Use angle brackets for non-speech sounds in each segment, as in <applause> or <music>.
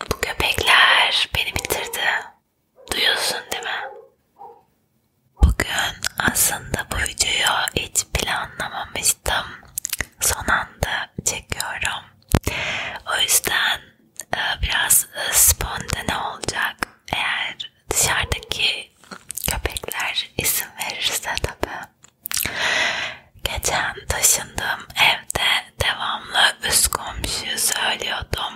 Bu köpekler beni bitirdi. Duyuyorsun değil mi? Bugün aslında bu videoyu hiç planlamamıştım. Son anda çekiyorum. O yüzden e, biraz e, spontane olacak. Eğer dışarıdaki köpekler isim verirse tabii. Geçen taşındığım evde devamlı üst komşuyu söylüyordum.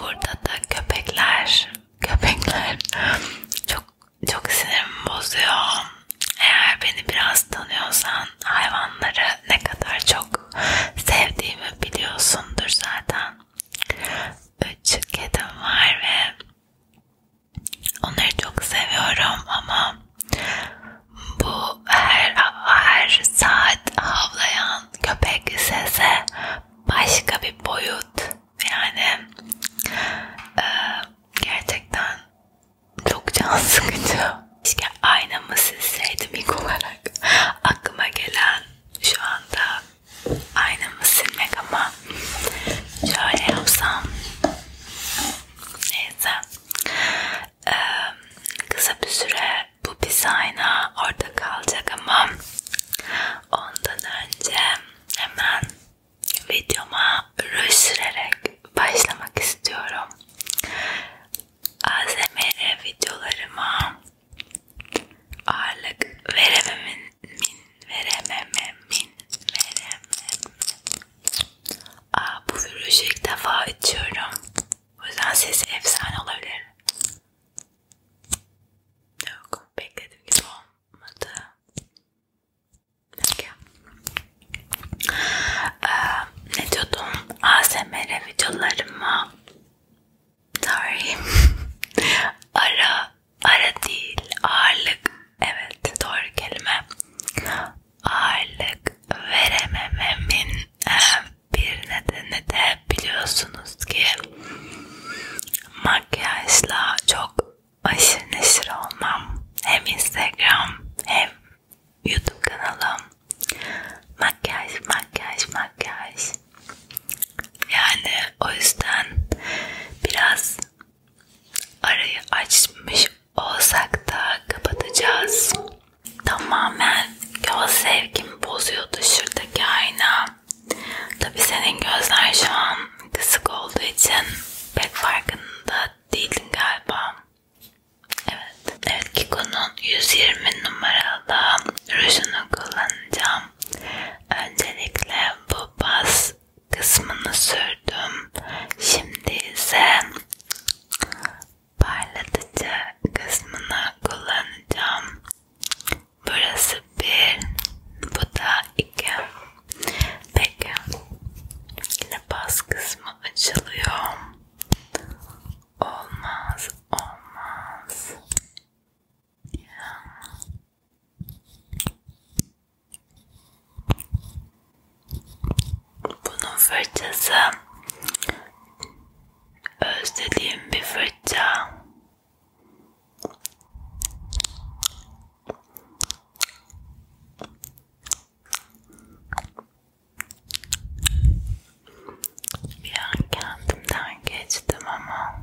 Burada da köpekler, köpekler çok çok sinirimi bozuyor. Eğer beni biraz tanıyorsan hayvanları ne kadar çok sevdiğimi biliyorsundur zaten. Üç kedim var ve onları çok seviyorum ama bu her, her saat havlayan köpek sese başka bir boyut. Yani e, gerçekten çok can sıkıcı. Keşke aynamı silseydim ilk olarak. Aklıma gelen şu anda aynamı silmek ama şöyle yapsam neyse ee, kısa bir süre bu pisayna orada kalacak ama ondan önce hemen videoma rüş sürerek başlamak istiyorum. ASMR videolarıma ağırlık verememin min veremememin verememin Aa, bu virüjü ilk defa içiyorum. O yüzden sesi efsane olabilir. Yok, beklediğim gibi olmadı. Peki. Ee, ne diyordum? ASMR videolarımı sorry <laughs> ara ara değil ağırlık evet doğru kelime ağırlık veremememin e, bir nedeni de biliyorsunuz ki makyajla çok aşırı neşir olmam. Hem Instagram hem YouTube kanalım. Makyaj, makyaj, makyaj. Yani o yüzden biraz arayı açmış olsak da kapatacağız. Tamamen göz sevgimi bozuyordu şuradaki ayna. Tabi senin gözler şu an kısık olduğu için pek farkında değildin galiba. Evet. Evet Kiko'nun 120 numaralı rujunu kullanacağım. Öncelikle bu bas kısmını sürdüm. Şimdi ise parlatıcı kısmını kullanacağım. Burası bir, bu da iki. Peki, yine bas kısmı açılıyor. Olmaz, olmaz. Ya. Bunun fırçası özlediğim bir fırça. Bir an kendimden geçtim ama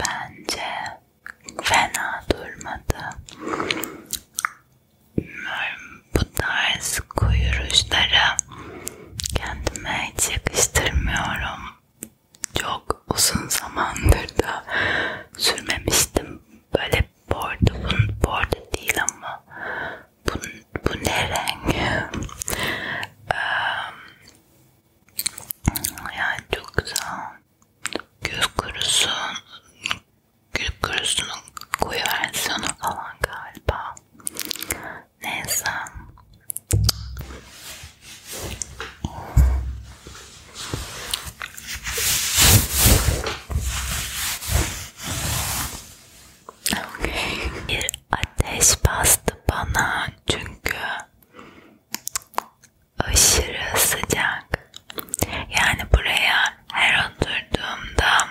Bence fena durmadı. Bu tarz kuyuruşları kendime hiç yakıştırmıyorum. Çok uzun zamandır da sürmemiştim. Böyle bordo, bu bordo değil ama bu, bu ne renk? Yani çok güzel. Göz kurusu, göz kurusunun koyu versiyonu falan galiba. Neyse. Okay. Bir ateş bastı bana çünkü aşırı sıcak. Yani buraya her oturduğumda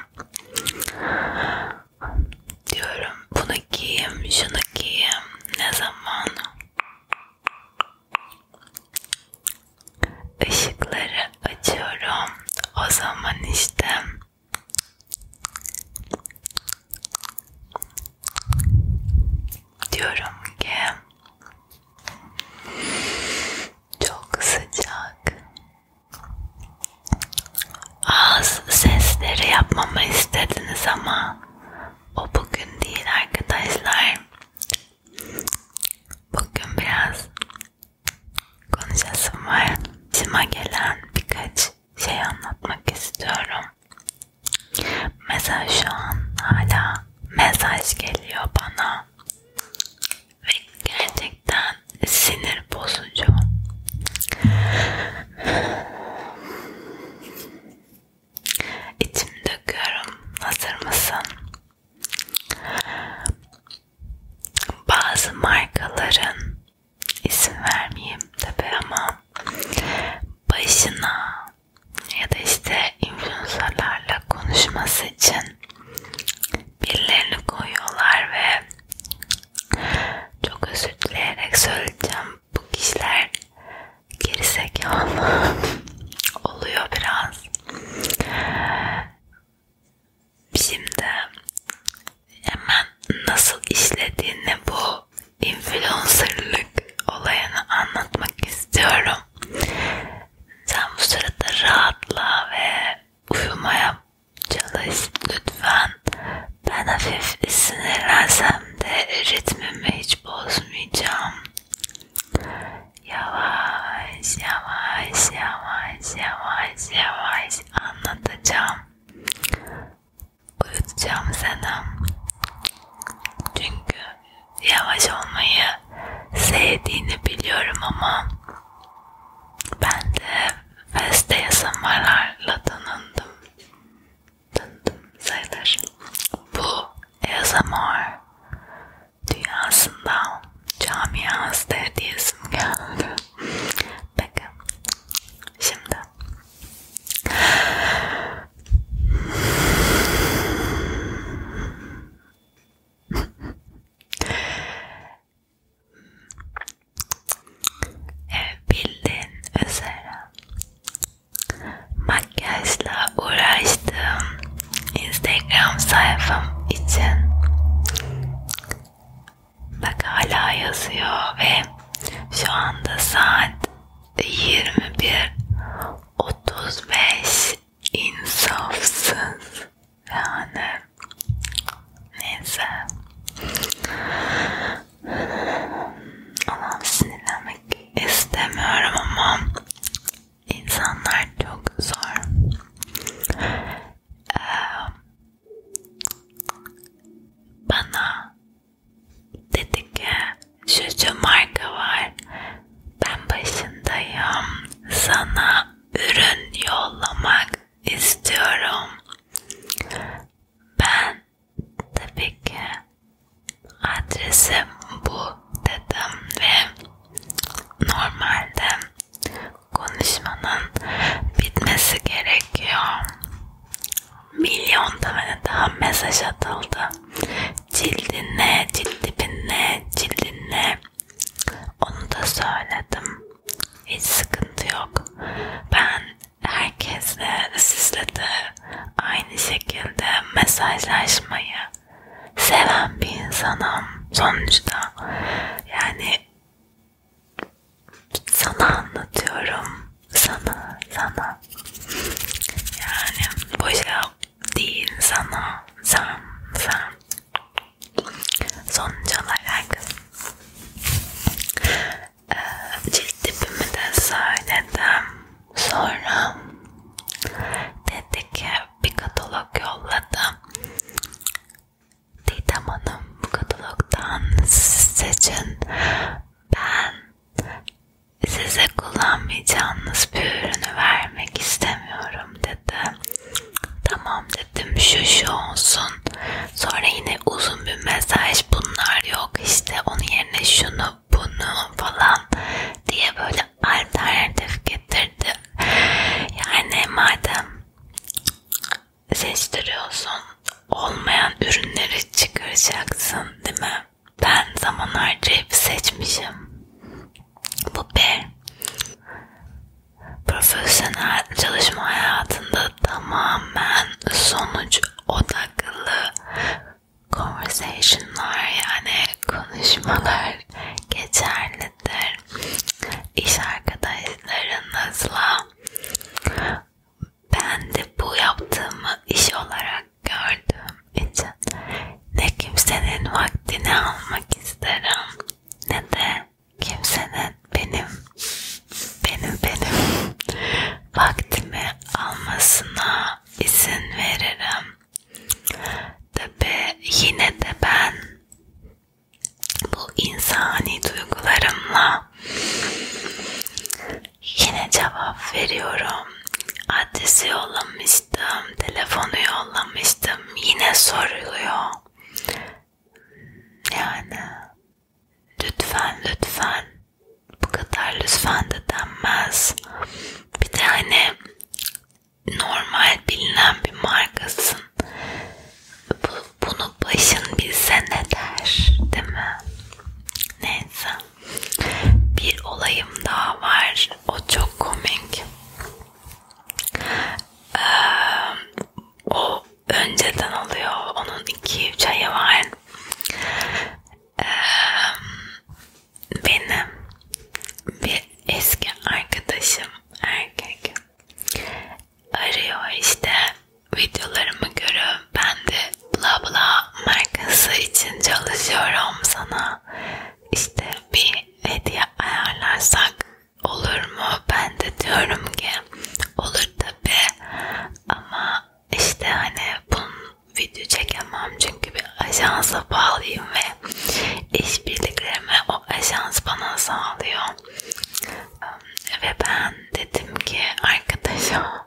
diyorum bunu giyeyim, şunu giyeyim. Ne zaman? Işıkları açıyorum. O zaman işte diyorum ki çok sıcak. Ağız sesleri yapmamı istediniz ama o bugün değil arkadaşlar. Bugün biraz konuşasım var. Cima gelen birkaç şey anlatmak istiyorum. Mesela şu an hala mesaj geliyor bana ve gerçekten sinir bozucu. İçimi döküyorum. Hazır mısın? Bazı markaların isim vermeyeyim tabi ama başına ya da işte influencerlarla konuşması için birilerini koyuyorlar ve çok özür dileyerek söyleyeceğim bu kişiler gerizekalı <laughs> oluyor biraz. Şimdi hemen nasıl işlediğini bu bu influencerlık olayını anlatmak istiyorum. Sen bu sırada rahatla ve uyumaya çalış lütfen. Ben hafif sinirlensem de ritmimi hiç bozmayacağım. Yavaş yavaş yavaş yavaş yavaş anlatacağım uyutacağım seni. Çünkü yavaş olmayı sevdiğini biliyorum ama ben de feste yazımarlarla tanındım. Tanındım sayılır. Bu yazamar dünyasında camiası diyesim geldi. Peki. Şimdi Evet, bildiğin üzere makyajla uğraştım. Instagram sayfam için bak hala yazıyor ve şu anda saat 21 35 insafsız yani neyse Allah'ım sinirlenmek istemiyorum ama insanlar çok zor ee, bana Dedi ki şu şu marka var. Ben başındayım. Sana ürün yollamak istiyorum. Ben tabii ki adresim bu dedim ve normalde konuşmanın bitmesi gerekiyor milyon tane daha mesaj atıldı. Cildin ne, cilt tipin ne, cildin ne? Onu da söyledim. Hiç sıkıntı yok. Ben herkesle, sizle de aynı şekilde mesajlaşmayı seven bir insanım sonuçta. Yani sana anlatıyorum sana, sana. Yani boşa şey değil sana, sen, sen. Sonuç olarak e, ee, cilt tipimi de söyledim. Sonra dedi ki bir katalog yolladım. Didem Hanım bu katalogdan seçin. Ben size kullanmayacağınız bir ürünü vermek istemiyorum dedi. Tamam dedim şu şu olsun. Sonra yine uzun bir mesaj bunlar yok işte onun yerine şunu bunu falan diye böyle alternatif getirdi. Yani madem seçtiriyorsun olmayan ürünleri çıkaracaksın değil mi? Ben zaman harcayıp seçmişim. Bu B. Profesyonel çalışma hayatında tamamen sonuç odaklı conversationlar yani konuşmalar geçerlidir. İş arkadaşlarınızla ben de bu yaptığımı iş olarak gördüğüm için ne kimsenin vaktini almak isterim ne de kimsenin benim benim benim vaktimi almasına izin veririm. Tabi yine de ben bu insani duygularımla Yine cevap veriyorum. Adresi yollamıştım, telefonu yollamıştım. Yine soruluyor. Yani lütfen lütfen bu kadar lütfen de denmez. Bir de hani normal bilinen bir markasın. Bu, bunu başın bilse ne der değil mi? Neyse. Bir olayım daha var. O çok komik. Ee, o önceden oluyor. Onun iki üç ayı var. Ee, benim bir eski arkadaşım erkek arıyor işte videolarımı görüp ben de bla bla markası için çalışıyorum sana işte bir hediye ayarlarsak olur mu? Ben de diyorum ki olur tabi ama işte hani bunu video çekemem çünkü bir ajansa bağlıyım ve işbirliklerimi o ajans bana sağlıyor ve ben dedim ki arkadaşa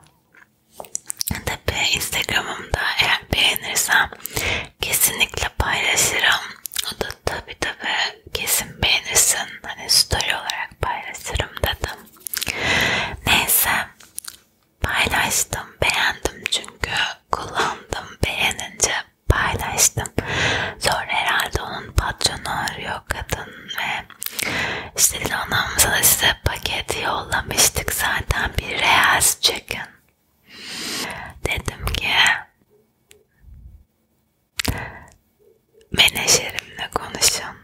Tabii Instagram'ımda eğer beğenirsem kesinlikle paylaşırım. O da tabii tabii kesin beğenirsin. Hani story olarak paylaşırım dedim. Neyse paylaştım, beğendim çünkü kullandım, beğenince paylaştım. Sonra herhalde onun patronu arıyor kadın ve işte anamıza da size paket yollamıştık zaten bir reels chicken. Dedim ki menajerimle konuşun.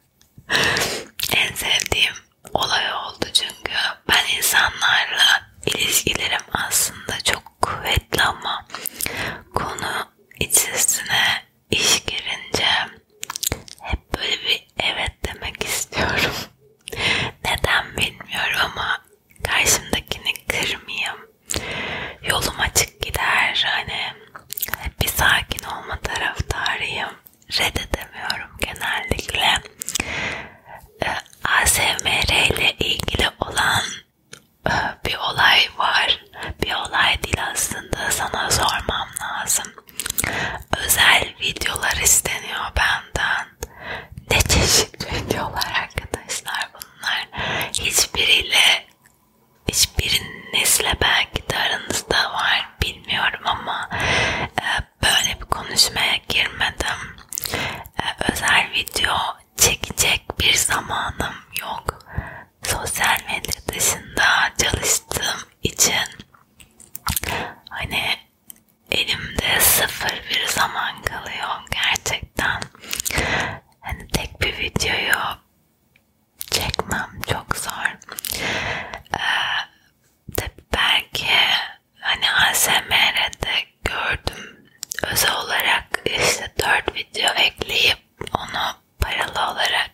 <laughs> en sevdiğim olay oldu çünkü ben insanlarla ilişkilerim aslında çok kuvvetli ama konu içerisine iş girince hep böyle bir evet demek istiyorum. <laughs> Neden bilmiyorum ama karşımdakini kırmayayım. Yolum açık gider hani hep bir sakin olma taraftarıyım. Reddedemiyorum genellikle. Ee, ASMR ile ilgili olan e, bir olay var bir olay değil aslında sana sormam lazım. Özel videolar isteniyor benden. Ne çeşit videolar arkadaşlar bunlar. Hiçbiriyle hiçbirinizle belki de aranızda var bilmiyorum ama e, böyle bir konuşmaya girmedim. E, özel video çekecek bir zamanım yok sosyal medya dışında çalıştığım için hani elimde sıfır bir zaman kalıyor gerçekten. Hani tek bir videoyu çekmem çok zor. Ee, tabii belki hani ASMR'de gördüm özel olarak işte 4 video ekleyip onu paralı olarak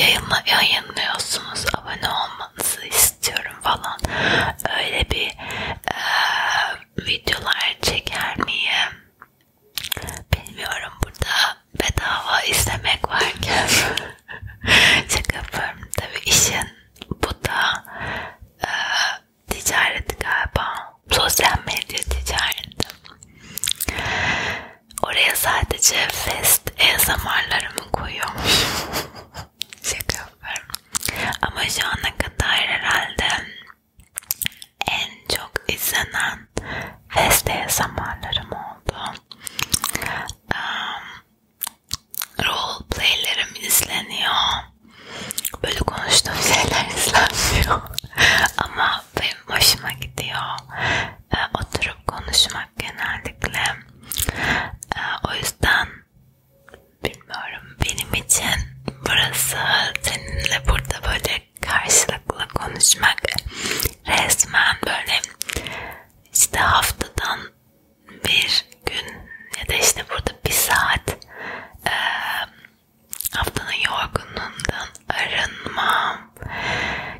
yayınla, yayınlıyorsunuz abone olmanızı istiyorum falan öyle bir e, videolar çeker miyim bilmiyorum burada bedava izlemek varken <laughs> şaka yapıyorum tabi işin bu da e, ticareti galiba sosyal medya ticareti Oraya sadece fest ASMR'larımı koyuyormuşum. <laughs> Şaka yapıyorum. Ama şu ana kadar herhalde en çok izlenen fest ASMR'larım oldu. Um, role playlerim izleniyor. Böyle konuştuğum şeyler <laughs> izlenmiyor. Ama benim hoşuma gidiyor e, oturup konuşmak genellikle. E, o yüzden bilmiyorum benim için burası seninle burada böyle karşılıklı konuşmak resmen böyle işte haftadan bir gün ya da işte burada bir saat e, haftanın yorgunluğundan arınmam,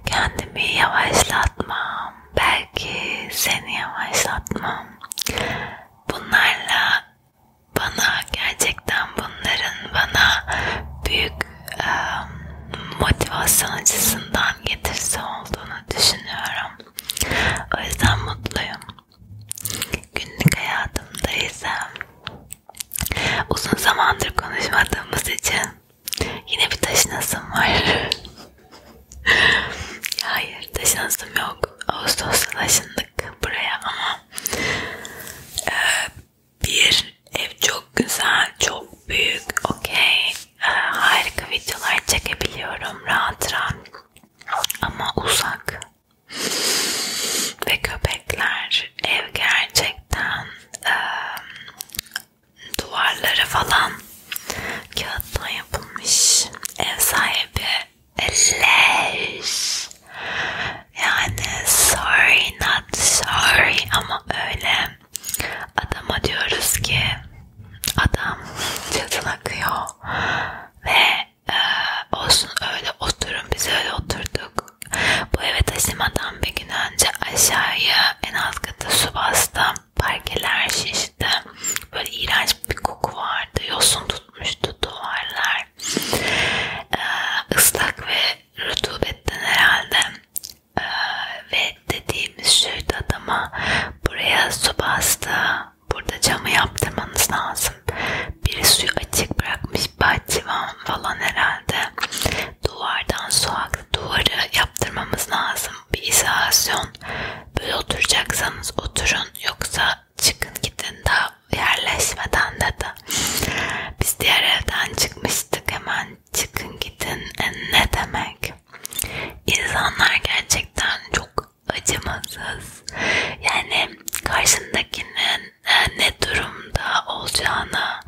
kendimi yavaşlatmam, belki seni yavaşlatmam. Bunlarla bana gerçekten bunların bana büyük e, motivasyon açısından getirisi olduğunu düşünüyorum. O yüzden mutluyum. Günlük hayatımda ise Uzun zamandır konuşmadığımız için yine bir taşınasım var. <laughs> Hayır taşınasım yok. Ağustos'ta taşındık buraya ama e, bir ev çok güzel, çok büyük, okey. E, harika videolar çekebiliyorum rahat rahat ama uzak ve köpekler ev gerçekten e, duvarları falan kağıttan yapılmış ev sahibi leş yani sorry not sorry ama öyle adama diyoruz ki adam çatın <laughs> akıyor ve e, olsun öyle oturun biz öyle oturduk yok. Bu eve taşımadan bir gün önce aşağıya en alt kata su bastı. Parkeler şişti. Böyle iğrenç bir koku vardı. Yosun tutmuştu duvarlar. Ee, ıslak ve rutubetten herhalde. Ee, ve dediğimiz şuydu adama buraya su bastı. Burada camı yaptırmanız lazım. Biri suyu açık bırakmış bahçıvan falan herhalde duvardan su aklı duvarı yaptırmamız lazım. Bir izolasyon. Böyle oturacaksanız oturun yoksa çıkın gidin daha yerleşmeden dedi. Biz diğer evden çıkmıştık hemen çıkın gidin e ne demek? İnsanlar gerçekten çok acımasız. Yani karşındakinin ne durumda olacağını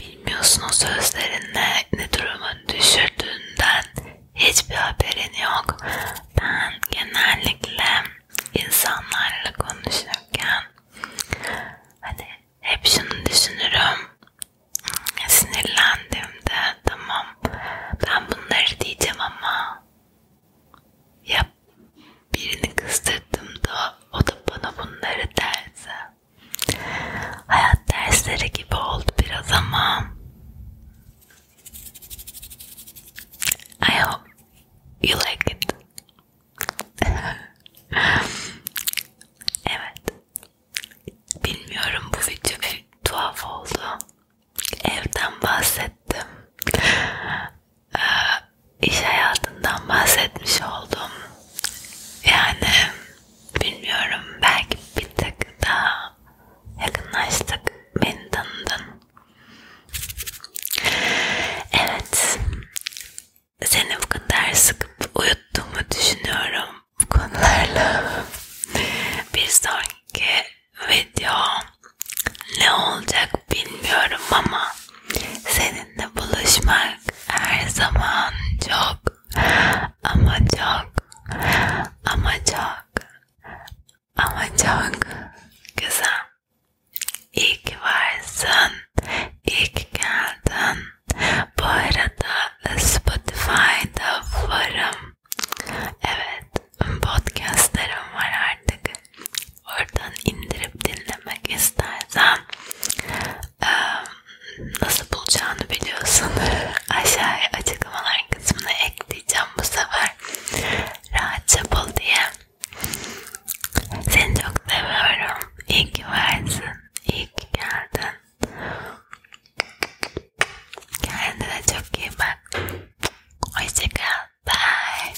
bilmiyorsun o sözlerinle ne durumun düşürdüğünden hiçbir haberin yok. Ben genellikle insanlarla konuşurken hani hep şunu düşünürüm sinirlendiğimde tamam ben bunları diyeceğim ama ya birini kızdırdığımda o da bana bunları derdi. Hayat dersleri gibi oldu biraz ama I hope you like it. evet. Bilmiyorum bu video bir tuhaf oldu. Evden bahsettim. Ee, iş hayatından bahsetmiş oldum. Yani bilmiyorum belki bir tık daha yakınlaştık. Beni tanıdın. Evet. Seni bu kadar sıkıp uyuttuğumu düşünüyorum bu konularla. bir sonraki video ne olacak bilmiyorum ama Seninle buluşmak her zaman çok ama çok ama çok ama çok güzel. İyi ki varsın. İyi ki geldin. Bu arada Spotify'da varım. Evet, podcastlarım var artık oradan indirip dinlemek istersen nasıl bulacağını biliyorsun <laughs> aşağıya açıklamalar kısmına ekleyeceğim bu sefer rahatça bul diye seni çok seviyorum iyi ki varsın iyi ki geldin kendine çok iyi bak hoşçakal bye